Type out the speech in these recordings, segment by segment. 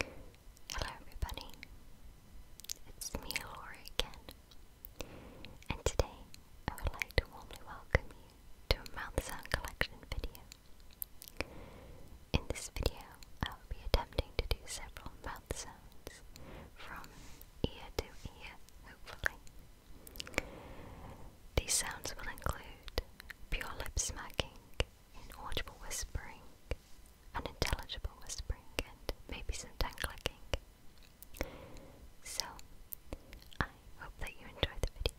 Hello everybody, it's me Lori, again, and today I would like to warmly welcome you to a mouth sound collection video. In this video I will be attempting to do several mouth sounds from ear to ear, hopefully. These sounds will include pure lip smacking, inaudible whispering, unintelligible whispering, and maybe some tongue clicking. So, I hope that you enjoy the video.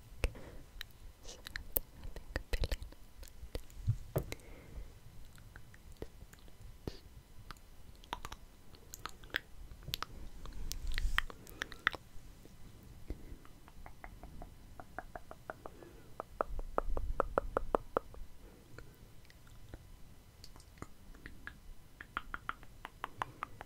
So I think a billion of that.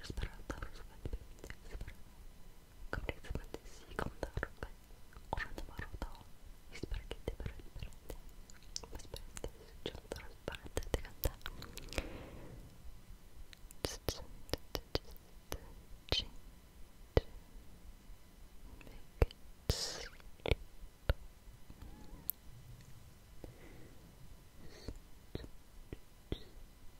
Respirata, rozpędź piwnicy, Kobiet z i kontarkę, urzędy marudą i sparkiety berendberende. Bezberende jest ciągle rozparate tygata. Make it sleep. Sleep. Sleep. Sleep.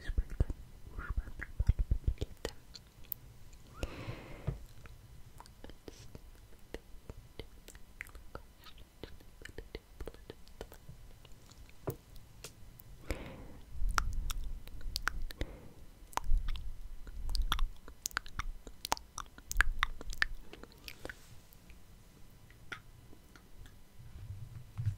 Sprinkled Urban Palpability.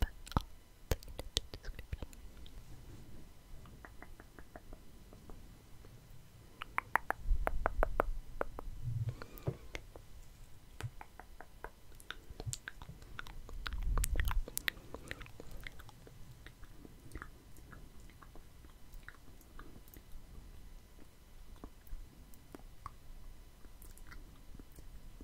but I'll link it in description.